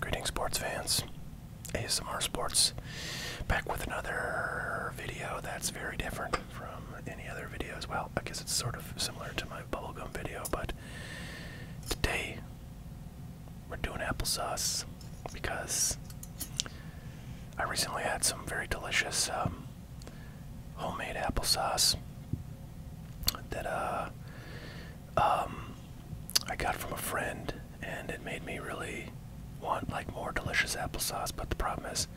Greetings, sports fans. ASMR Sports back with another video that's very different from any other video well. I guess it's sort of similar to my bubblegum video, but today we're doing applesauce because I recently had some very delicious um, homemade applesauce that uh, um, I got from a friend and it made me really want like more delicious applesauce but the problem is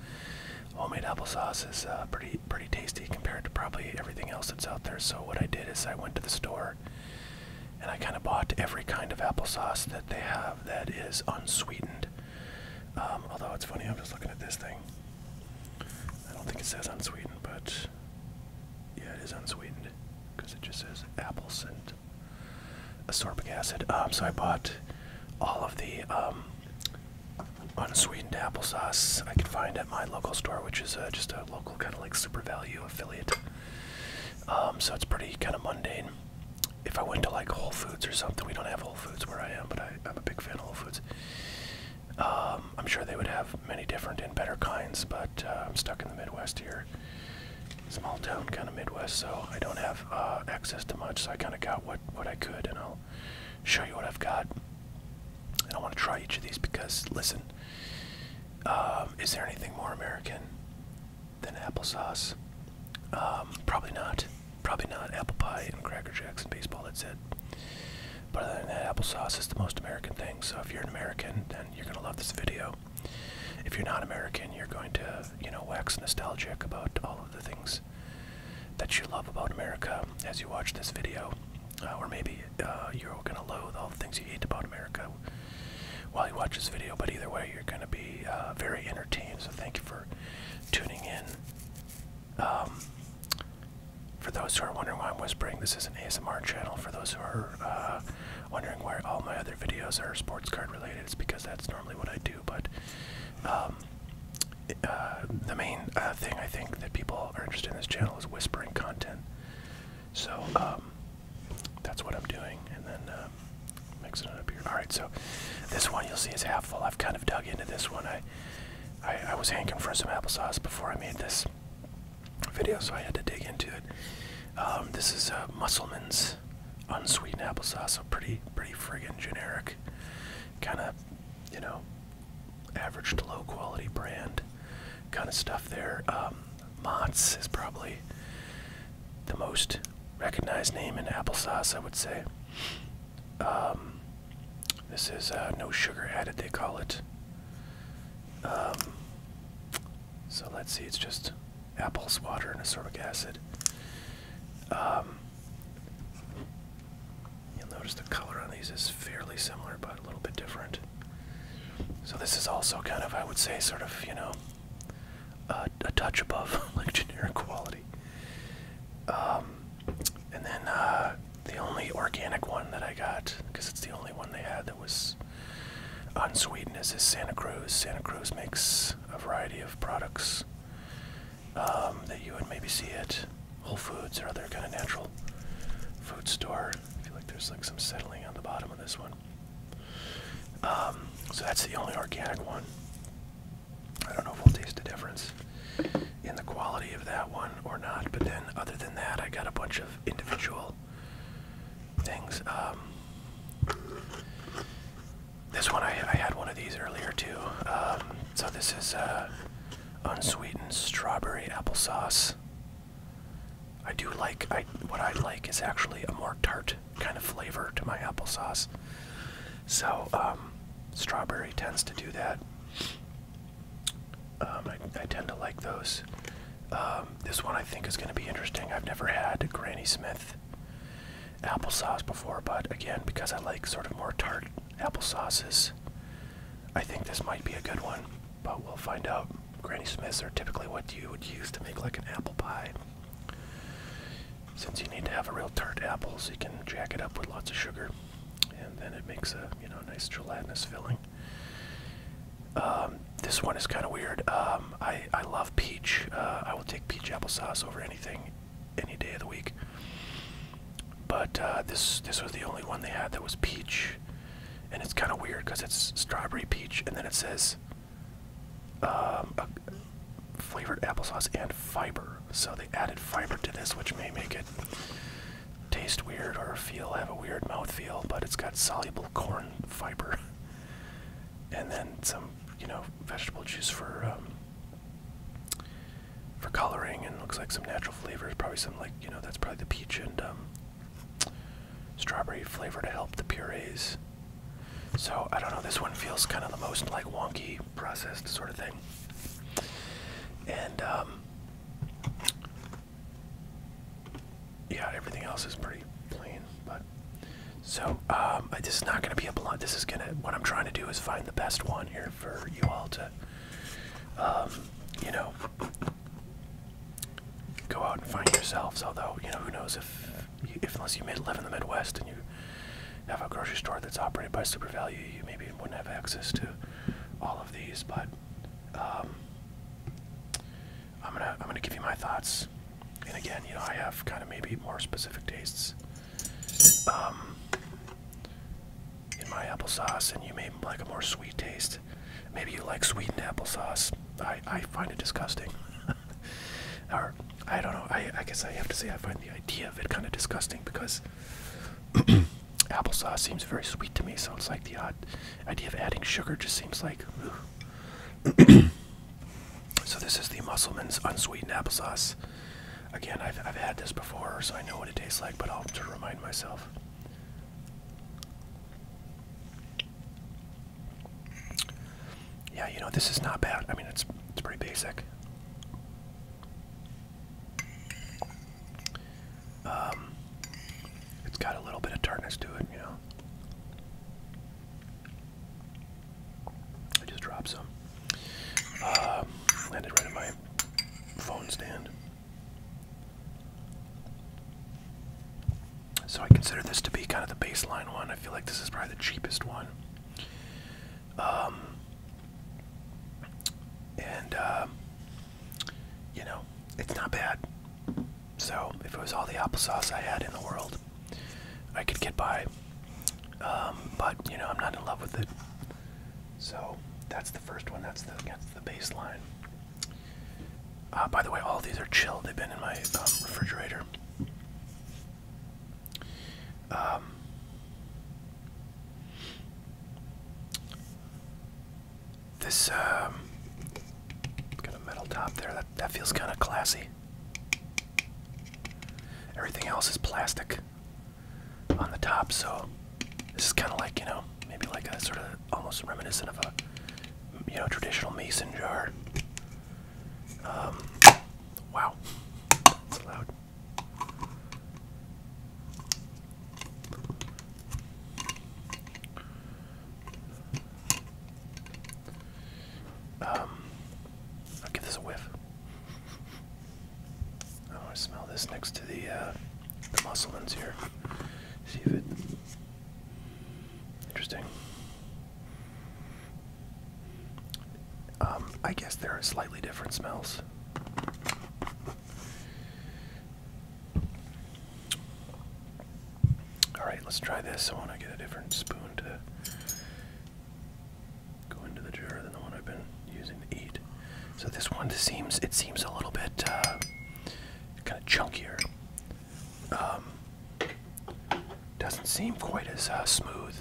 homemade applesauce is uh, pretty pretty tasty compared to probably everything else that's out there so what I did is I went to the store and I kind of bought every kind of applesauce that they have that is unsweetened um, although it's funny, I'm just looking at this thing. I don't think it says unsweetened, but yeah, it is unsweetened because it just says apples and ascorbic acid. Um, so I bought all of the um, unsweetened applesauce I could find at my local store, which is uh, just a local kind of like super value affiliate. so it's pretty kind of mundane if I went to like Whole Foods or something, we don't have Whole Foods where I am, but I, I'm a big fan of Whole Foods. Um, I'm sure they would have many different and better kinds, but uh, I'm stuck in the Midwest here, small town kind of Midwest, so I don't have uh, access to much. So I kind of got what what I could, and I'll show you what I've got. And I want to try each of these because listen, um, is there anything more American than applesauce? Um, probably not. Probably not. Apple pie and Cracker Jacks and baseball, that's it. But other than applesauce is the most American thing. So if you're an American, then you're going to love this video. If you're not American, you're going to, you know, wax nostalgic about all of the things that you love about America as you watch this video. Uh, or maybe uh, you're going to loathe all the things you hate about America while you watch this video. But either way, you're going to be uh, very entertained. So thank you for tuning in um, for those who are wondering why I'm whispering, this is an ASMR channel. For those who are uh, wondering why all my other videos are sports card related, it's because that's normally what I do. But um, uh, the main uh, thing I think that people are interested in this channel is whispering content. So um, that's what I'm doing, and then um, mixing it up here. All right, so this one you'll see is half full. I've kind of dug into this one. I I, was hankering for some applesauce before I made this video, so I had to dig into it. Um, this is uh, Musselman's unsweetened applesauce, so pretty pretty friggin' generic, kind of you know average to low quality brand kind of stuff there. Um, Mott's is probably the most recognized name in applesauce, I would say. Um, this is uh, no sugar added, they call it. Um, so let's see, it's just apples, water, and ascorbic acid. Um, you'll notice the color on these is fairly similar, but a little bit different. So this is also kind of, I would say, sort of, you know, a touch above like generic quality. And then uh, the only organic one that I got, because it's the only one they had that was unsweetened, is Santa Cruz. Santa Cruz makes a variety of products um, that you would maybe see at Whole Foods or other kind of natural food store. I feel like there's like some settling on the bottom of this one. Um, so that's the only organic one. I don't know if we'll taste a difference in the quality of that one or not, but then other than that, I got a bunch of individual things. Um, this one, I, had one of these earlier too. Um, so this is uh, unsweetened strawberry applesauce. I do like, I what I like is actually a more tart kind of flavor to my applesauce. So, um, Strawberry tends to do that. Um, I, tend to like those. Um, this one I think is going to be interesting. I've never had Granny Smith applesauce before, but again, because I like sort of more tart applesauces, I think this might be a good one. But we'll find out. Granny Smiths are typically what you would use to make like an apple pie. Since you need to have a real tart apple, so you can jack it up with lots of sugar, and then it makes a you know nice gelatinous filling. Um, this one is kind of weird. Um, I I love peach. Uh, I will take peach applesauce over anything, any day of the week. But uh, this this was the only one they had that was peach, and it's kind of weird because it's strawberry peach, and then it says um, flavored applesauce and fiber so they added fiber to this, which may make it taste weird or feel have a weird mouth feel. but it's got soluble corn fiber. And then some, you know, vegetable juice for um, for coloring, and looks like some natural flavors. Probably some like, you know, that's probably the peach and um, strawberry flavor to help the purees. So I don't know. This one feels kind of the most like wonky processed sort of thing. And um, yeah, everything else is pretty plain. But so um, this is not going to be a blunt. This is going to what I'm trying to do is find the best one here for you all to, um, you know, go out and find yourselves. Although you know, who knows if if unless you live in the Midwest and you have a grocery store that's operated by Super Value, you maybe wouldn't have access to all of these. But um, I'm gonna I'm gonna give you my thoughts. And again, you know, I have kind of maybe more specific tastes um, in my applesauce, and you may like a more sweet taste. Maybe you like sweetened applesauce. I I find it disgusting. or I don't know. I I guess I have to say I find the idea of it kind of disgusting because Applesauce seems very sweet to me, so it's like the odd idea of adding sugar just seems like. so this is the Musselman's unsweetened applesauce. Again, I've had this before, so I know what it tastes like, but I'll to remind myself. Yeah, you know this is not bad. I mean, it's it's pretty basic. Um, it's got a little bit of tartness to it, you know. I just dropped some. Uh, landed right in my phone stand. So I consider this to be kind of the baseline one. I feel like this is probably the cheapest one um, and um, you know it's not bad. So if it was all the applesauce I had in the world, I could get by. Um, but you know I'm not in love with it. So that's the first one. That's the that's the baseline. Uh, by the way, all these are chilled. They've been in my um, refrigerator. Um, this got um, a metal top there. That that feels kind of classy. Everything else is plastic on the top, so this is kind of like you know maybe like a sort of almost reminiscent of a you know traditional mason jar. Um, wow, that's loud. Um, I'll give this a whiff. I want to smell this next to the uh, the musselins here. See if it interesting. Um, I guess there are slightly different smells. Alright, let's try this. I want to get a different spoon to go into the jar than the one I've been using to eat. So this one seems it seems a little bit uh, kind of chunkier. Um, doesn't seem quite as uh, smooth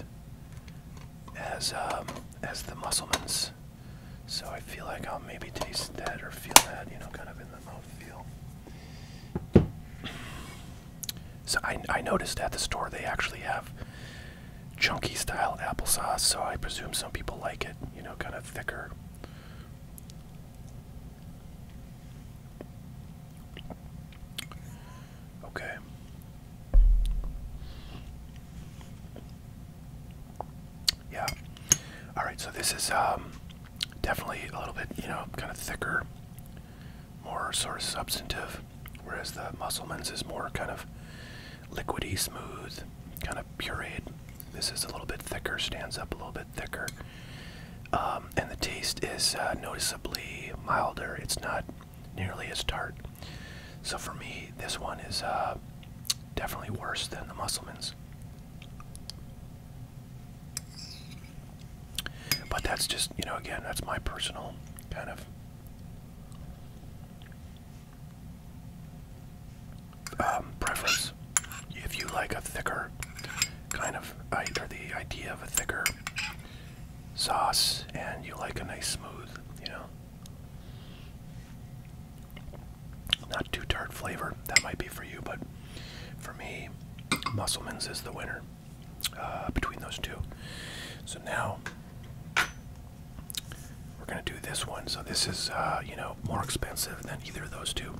as um, as the Musselman's so I feel like I'll maybe taste that or feel that, you know, kind of in the mouth feel. So I, I noticed at the store they actually have chunky style applesauce, so I presume some people like it, you know, kind of thicker. Okay, yeah. All right, so this is um, definitely a little bit, you know, kind of thicker, more sort of substantive, whereas the Musselman's is more kind of liquidy, smooth, kind of pureed. This is a little bit thicker, stands up a little bit thicker. Um, and the taste is uh, noticeably milder. It's not nearly as tart. So for me, this one is uh, definitely worse than the Musselmans, But that's just, you know, again, that's my personal kind of um, preference. If you like a thicker kind of, or the idea of a thicker sauce, and you like a nice smooth, you know, not too tart flavor. That might be for you, but for me, Musselman's is the winner uh, between those two. So now we're gonna do this one. So this is, uh, you know, more expensive than either of those two.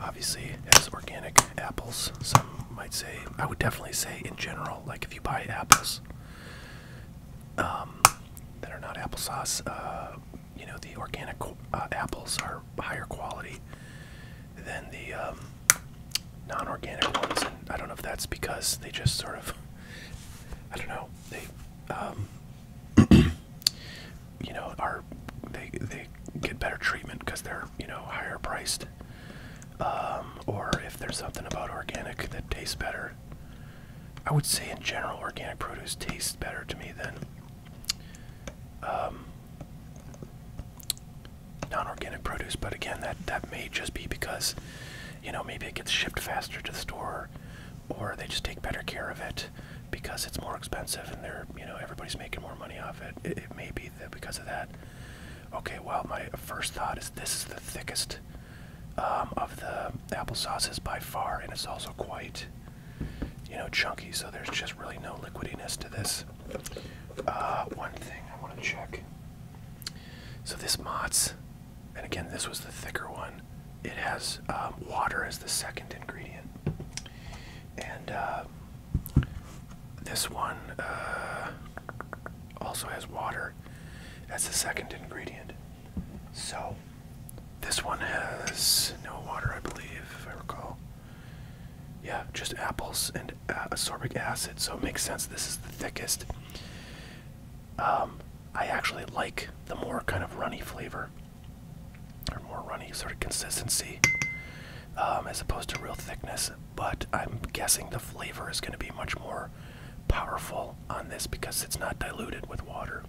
Obviously, as organic apples, some might say. I would definitely say, in general, like if you buy apples, um, that are not applesauce. Uh, you know, the organic uh, apples are higher quality than the um, non-organic ones, and I don't know if that's because they just sort of, I don't know, they, um, you know, are they they get better treatment because they're you know higher priced, um, or if there's something about organic that tastes better I would say in general, organic produce tastes better to me than um, non-organic produce. But again, that that may just be because you know maybe it gets shipped faster to the store, or they just take better care of it because it's more expensive and they're you know everybody's making more money off it. It, it may be that because of that. Okay, well my first thought is this is the thickest um, of the applesauces by far, and it's also quite, you know, chunky. So there's just really no liquidiness to this. Uh, one thing I want to check. So this Mott's, and again this was the thicker one. It has um, water as the second ingredient, and uh, this one uh, also has water sugar as the second ingredient. So, this one has no water, I believe, if I recall. Yeah, just apples and ascorbic acid, so it makes sense this is the thickest. Um, I actually like the more kind of runny flavor, or more runny sort of consistency, um, as opposed to real thickness, but I'm guessing the flavor is going to be much more powerful on this because it's not diluted with water.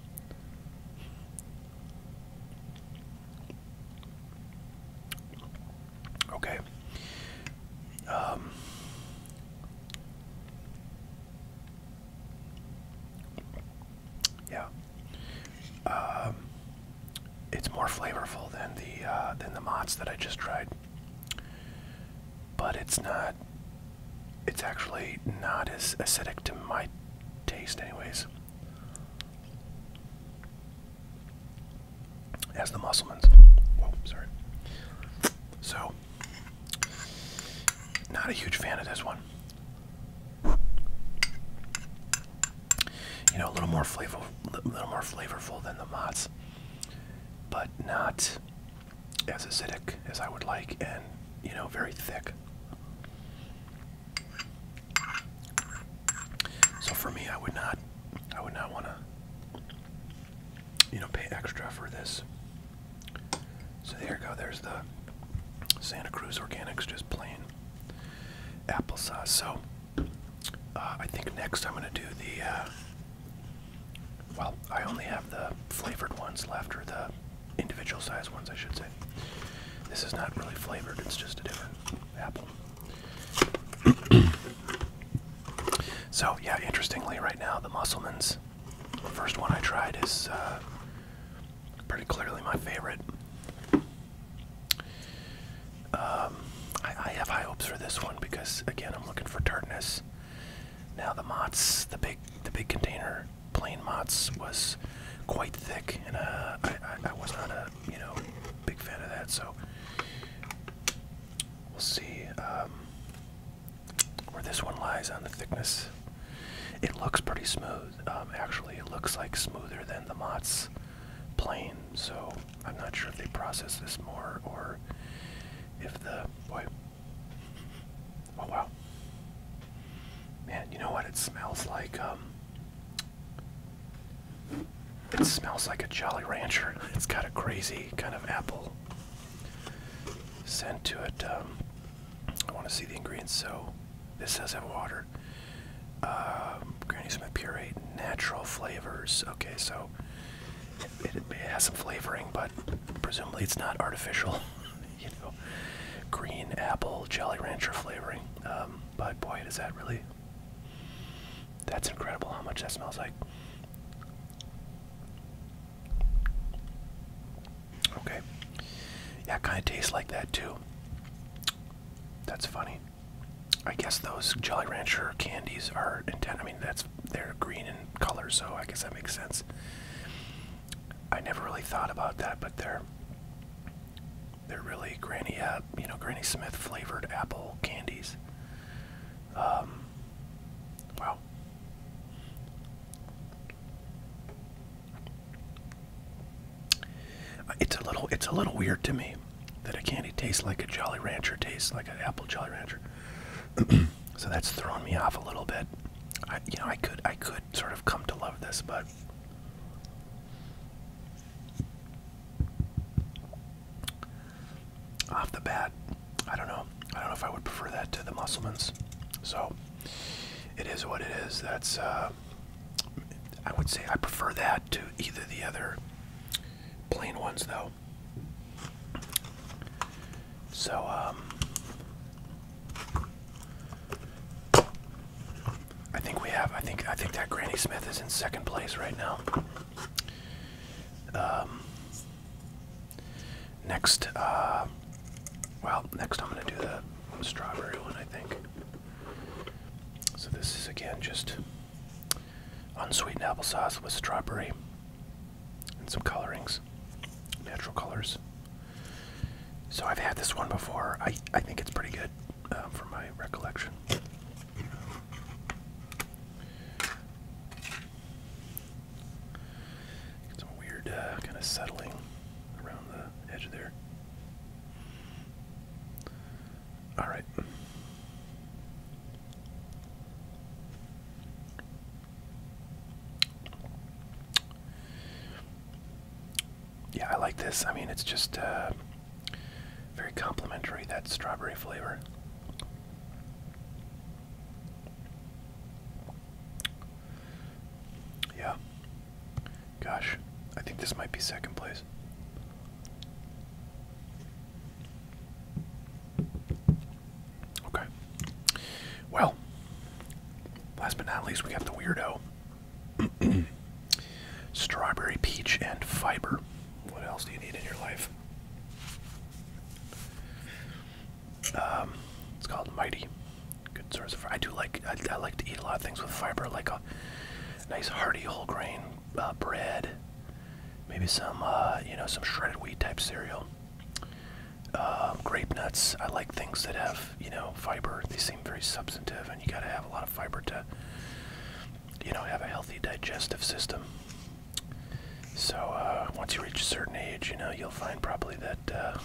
Okay. Um, yeah. Um, it's more flavorful than the uh, than the mods that I just tried but it's not it's actually not as acidic to my taste anyways as the Musselman's. Whoa, sorry. So not a huge fan of this one. You know, a little more flavorful, a little more flavorful than the Mott's, but not as acidic as I would like and, you know, very thick. So for me, I would not, I would not want to, you know, pay extra for this. So there you go. There's the Santa Cruz Organics, just plain applesauce. So uh, I think next I'm going to do the uh, well, I only have the flavored ones left, or the individual size ones, I should say. This is not really flavored, it's just a different apple. so, yeah, interestingly, right now, the Musselman's first one I tried is uh, pretty clearly my favorite. Um, I, I have high hopes for this one because, again, I'm looking for tartness. Now the Mott's, the big, the big container plain Mott's was quite thick, and uh, I, was not a you know big fan of that. So we'll see um, where this one lies on the thickness. It looks pretty smooth. Um, actually, it looks like smoother than the Mott's plain. So I'm not sure if they process this more or if the boy Oh wow. Man, you know what it smells like? Um, it smells like a Jolly Rancher. It's got a crazy kind of apple scent to it. Um, I want to see the ingredients. So, this does have water. Um, Granny Smith puree, natural flavors. Okay, so it has some flavoring, but presumably it's not artificial. you know, green apple Jolly Rancher flavoring. Um, but boy, does that really. That's incredible how much that smells like. Okay. Yeah, kind of tastes like that too. That's funny. I guess those Jolly Rancher candies are intent. I mean, that's they're green in color, so I guess that makes sense. I never really thought about that, but they're they're really Granny, app, you know, Granny Smith flavored apple candies. Um, wow. It's a little, it's a little weird to me that a candy tastes like a Jolly Rancher tastes like an apple Jolly Rancher. so that's thrown me off a little bit. I, you know, I could, I could sort of come to love this, but off the bat, I don't know. I don't know if I would prefer that to the Musselmans. So it is what it is. That's uh, I would say I prefer that to either the other plain ones, though. So, um, I think we have. I think. I think that Granny Smith is in second place right now. Um, next, uh, well, next I'm gonna do the strawberry one. I think. So this is again just unsweetened applesauce with strawberry and some colorings, natural colors. So I've had this one before. I I think it's pretty good um, from my recollection. Some weird uh, kind of settling around the edge there. All right. Yeah, I like this. I mean, it's just uh, very complimentary, that strawberry flavor. Yeah. Gosh, I think this might be second place. Okay. Well, Last but not least, we got the weirdo. Strawberry, peach, and fiber. What else do you need in your life? Um, it's called Mighty. Good source of. fiber. I do like. I, like to eat a lot of things with fiber, like a nice hearty whole grain uh, bread, maybe some uh, you know some shredded wheat type cereal. Um, grape nuts. I like things that have you know fiber. They seem very substantive, and you got to have a lot of fiber to you know have a healthy digestive system. So uh, once you reach a certain age, you know you'll find probably that uh,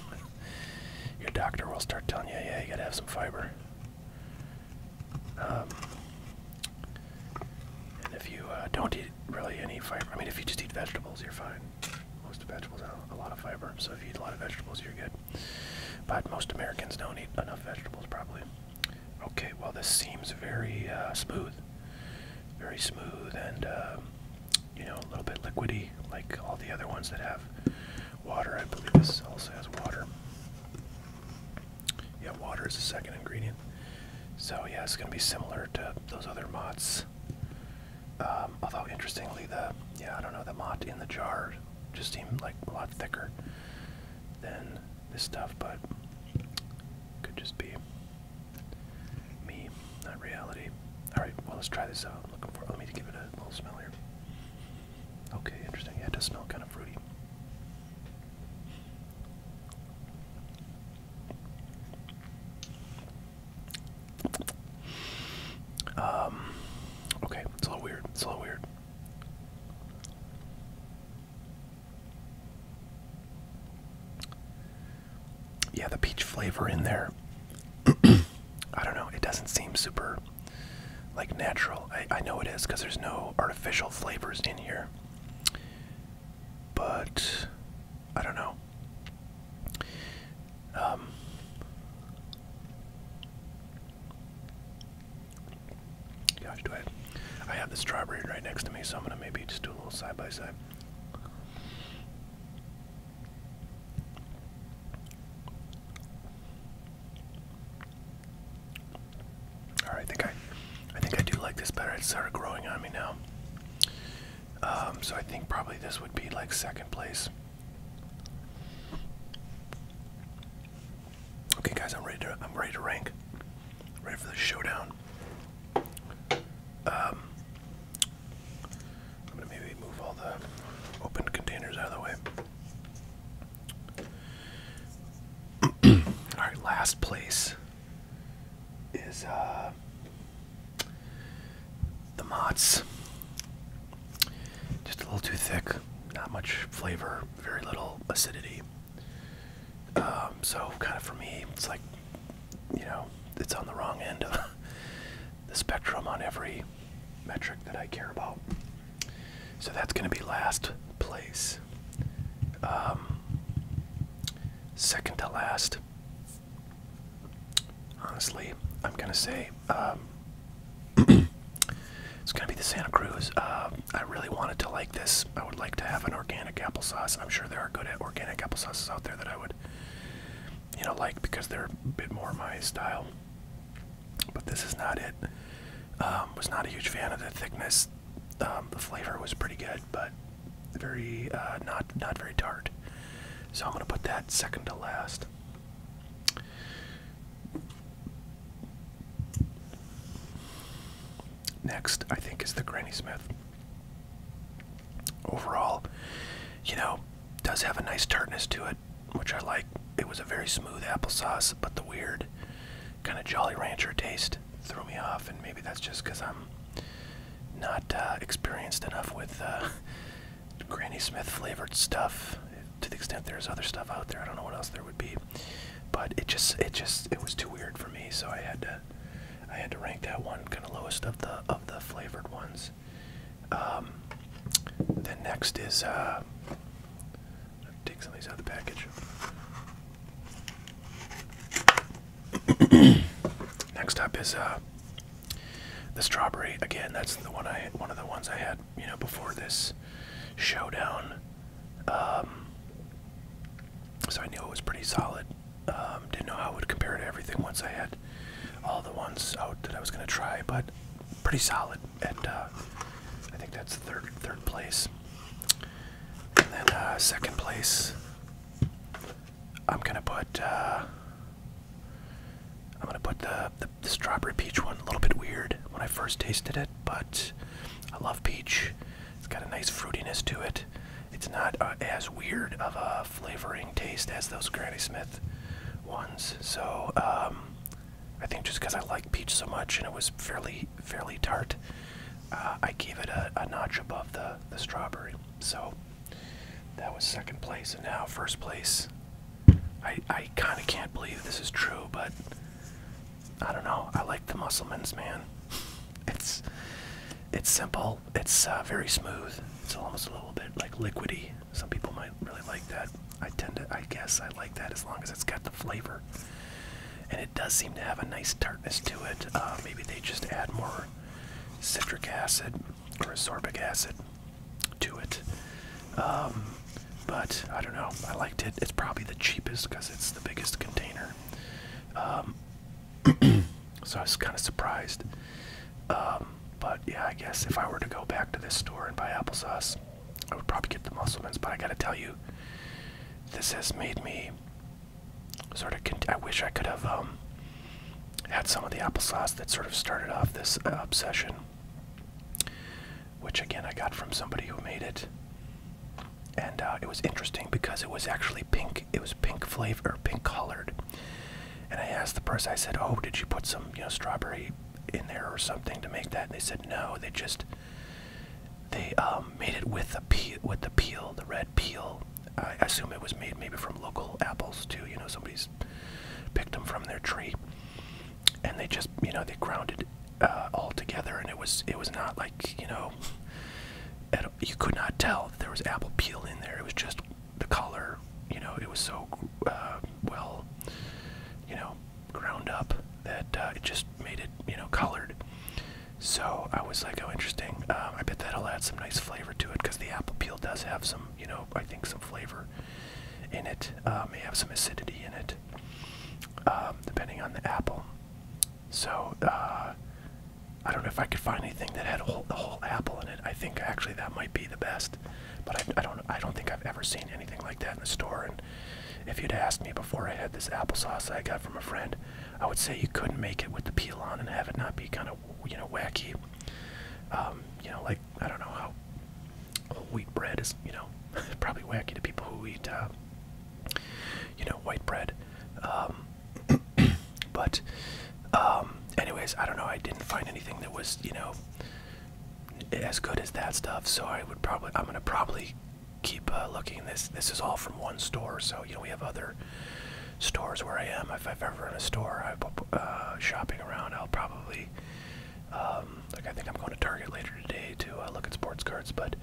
your doctor will start telling you, yeah, you got to have some fiber. Um, and if you uh, don't eat really any fiber, I mean, if you just eat vegetables, you're fine. Most vegetables have a lot of fiber, so if you eat a lot of vegetables, you're good. But most Americans don't eat enough vegetables, probably. Okay, well, this seems very uh, smooth. Very smooth and, um, you know, a little bit liquidy, like all the other ones that have water. I believe this also has water. Yeah, water is the second ingredient. So, yeah, it's going to be similar to those other motts. Um, although interestingly, the yeah I don't know the mott in the jar just seemed like a lot thicker than this stuff, but could just be me, not reality. All right, well let's try this out. I'm looking for let me give it a little smell here. Okay, interesting. Yeah, it does smell kind of fruity. Um, okay, it's a little weird. It's a little weird. Yeah, the peach flavor in there. I don't know. It doesn't seem super like natural. I, I know it is because there's no artificial flavors in here. But I don't know. Um, gosh, do I? I have this strawberry right next to me, so I'm gonna maybe just do a little side by side. All right, I think I, I think I do like this better. It's sort of growing on me now. Um, so I think probably this would be like second place. Okay, guys, I'm ready to I'm ready to rank. Ready for the showdown. Um, I'm gonna maybe move all the open containers out of the way. All right, last place is uh, the Mott's. Just a little too thick. Not much flavor. Very little acidity. Um, so, kind of for me, it's like, you know, it's on the wrong end of the spectrum on every metric that I care about. So that's going to be last place. Um, second to last Honestly, I'm gonna say um, it's gonna be the Santa Cruz. Um, I really wanted to like this. I would like to have an organic applesauce. I'm sure there are good organic applesauces out there that I would, you know, like because they're a bit more my style. But this is not it. Um, was not a huge fan of the thickness. the flavor was pretty good, but very uh, not not very tart. So I'm gonna put that second to last. Next, I think, is the Granny Smith. Overall, you know, does have a nice tartness to it, which I like. It was a very smooth applesauce, but the weird kind of Jolly Rancher taste threw me off, and maybe that's just because I'm not uh, experienced enough with uh, Granny Smith flavored stuff. To the extent there's other stuff out there, I don't know what else there would be. But it just, it just, it was too weird for me, so I had to, I had to rank that one kind of lowest of the of the flavored ones. Um, then next is, uh, take some of these out of the package. Next up is uh, the strawberry again. That's the one I one of the ones I had you know before this showdown. Um, so I knew it was pretty solid. Um, didn't know how it would compare to everything once I had all the ones out that I was gonna try, but pretty solid. And uh, I think that's third third place. And then uh, second place, I'm gonna put. Uh, I'm gonna put the, the strawberry peach one a little bit weird when I first tasted it, but I love peach. It's got a nice fruitiness to it. It's not uh, as weird of a flavoring taste as those Granny Smith ones. So um, I think just because I like peach so much and it was fairly fairly tart, uh, I gave it a, a notch above the the strawberry. So that was second place, and now first place. I, I kind of can't believe this is true, but I don't know. I like the Muscleman's man. It's it's simple. It's uh, very smooth. It's almost a little bit like liquidy. Some people might really like that. I tend to. I guess I like that as long as it's got the flavor, and it does seem to have a nice tartness to it. Uh, maybe they just add more citric acid or ascorbic acid to it. Um, but I don't know. I liked it. It's probably the cheapest because it's the biggest container. Um, so I was kind of surprised. Um, but yeah, I guess if I were to go back to this store and buy applesauce, I would probably get the Musselman's. But I gotta tell you, this has made me sort of. I wish I could have had some of the applesauce that sort of started off this uh, obsession which again I got from somebody who made it. And uh, it was interesting because it was actually pink. It was pink flavor, pink colored. And I asked the person, I said, "Oh, did you put some, you know, strawberry in there or something to make that?" And they said, "No, they just they um, made it with the peel, with the peel, the red peel. I assume it was made maybe from local apples too. You know, somebody's picked them from their tree, and they just you know they grounded uh, all together, and it was it was not like you know, you could not tell there was apple peel in there. It was just the color, you know, it was so uh, well, you know, ground up that uh, it just made it you know colored. So I was like, oh, interesting. Um, I bet that'll add some nice flavor to it because the apple peel does have some, you know, I think some flavor in it, uh, may have some acidity in it, um, depending on the apple. So uh, I don't know if I could find anything that had a whole, the whole apple in it. I think actually that might be the best, but I, I don't I don't think I've ever seen anything like that in the store. And if you'd asked me before I had this applesauce I got from a friend, I would say you couldn't make it with the peel on and have it not be kind of you know wacky. Um, you know, like I don't know how whole wheat bread is, you know, probably wacky to people who eat, uh, you know, white bread. Um, but, um, anyways, I don't know. I didn't find anything that was, you know, as good as that stuff. So I would probably, I'm gonna probably keep uh, looking. This this is all from one store. So you know, we have other stores where I am. If I've ever in a store, I uh, shopping around, I'll probably um, like I think I'm going to Target later today to uh, look at sports cards, but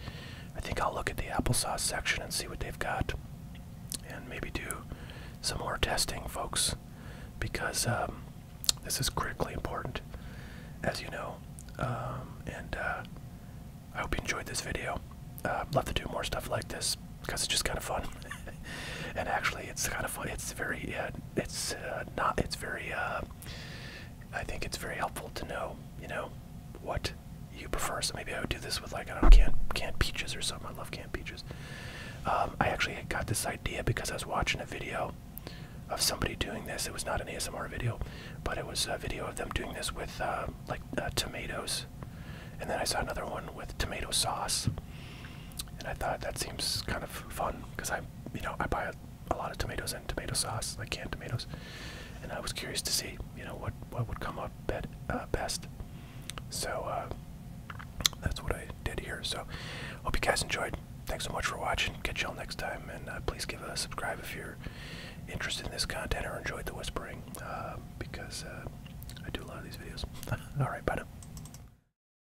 I think I'll look at the applesauce section and see what they've got, and maybe do some more testing, folks, because um, this is critically important, as you know. Um, and uh, I hope you enjoyed this video. Uh, i love to do more stuff like this because it's just kind of fun, and actually, it's kind of fun. It's very it's uh, not it's very uh, I think it's very helpful to know you know what you prefer. So maybe I would do this with like canned canned peaches or something. I love canned peaches. Um, I actually got this idea because I was watching a video of somebody doing this. It was not an ASMR video, but it was a video of them doing this with uh, like tomatoes. And then I saw another one with tomato sauce. And I thought that seems kind of fun because I you know, I buy a, lot of tomatoes and tomato sauce, like canned tomatoes, and I was curious to see, you know, what what would come up bet, uh, best. So uh, that's what I did here. So hope you guys enjoyed. Thanks so much for watching. Catch y'all next time, and uh, please give a subscribe if you're interested in this content or enjoyed the whispering, because I do a lot of these videos. All right, bye now.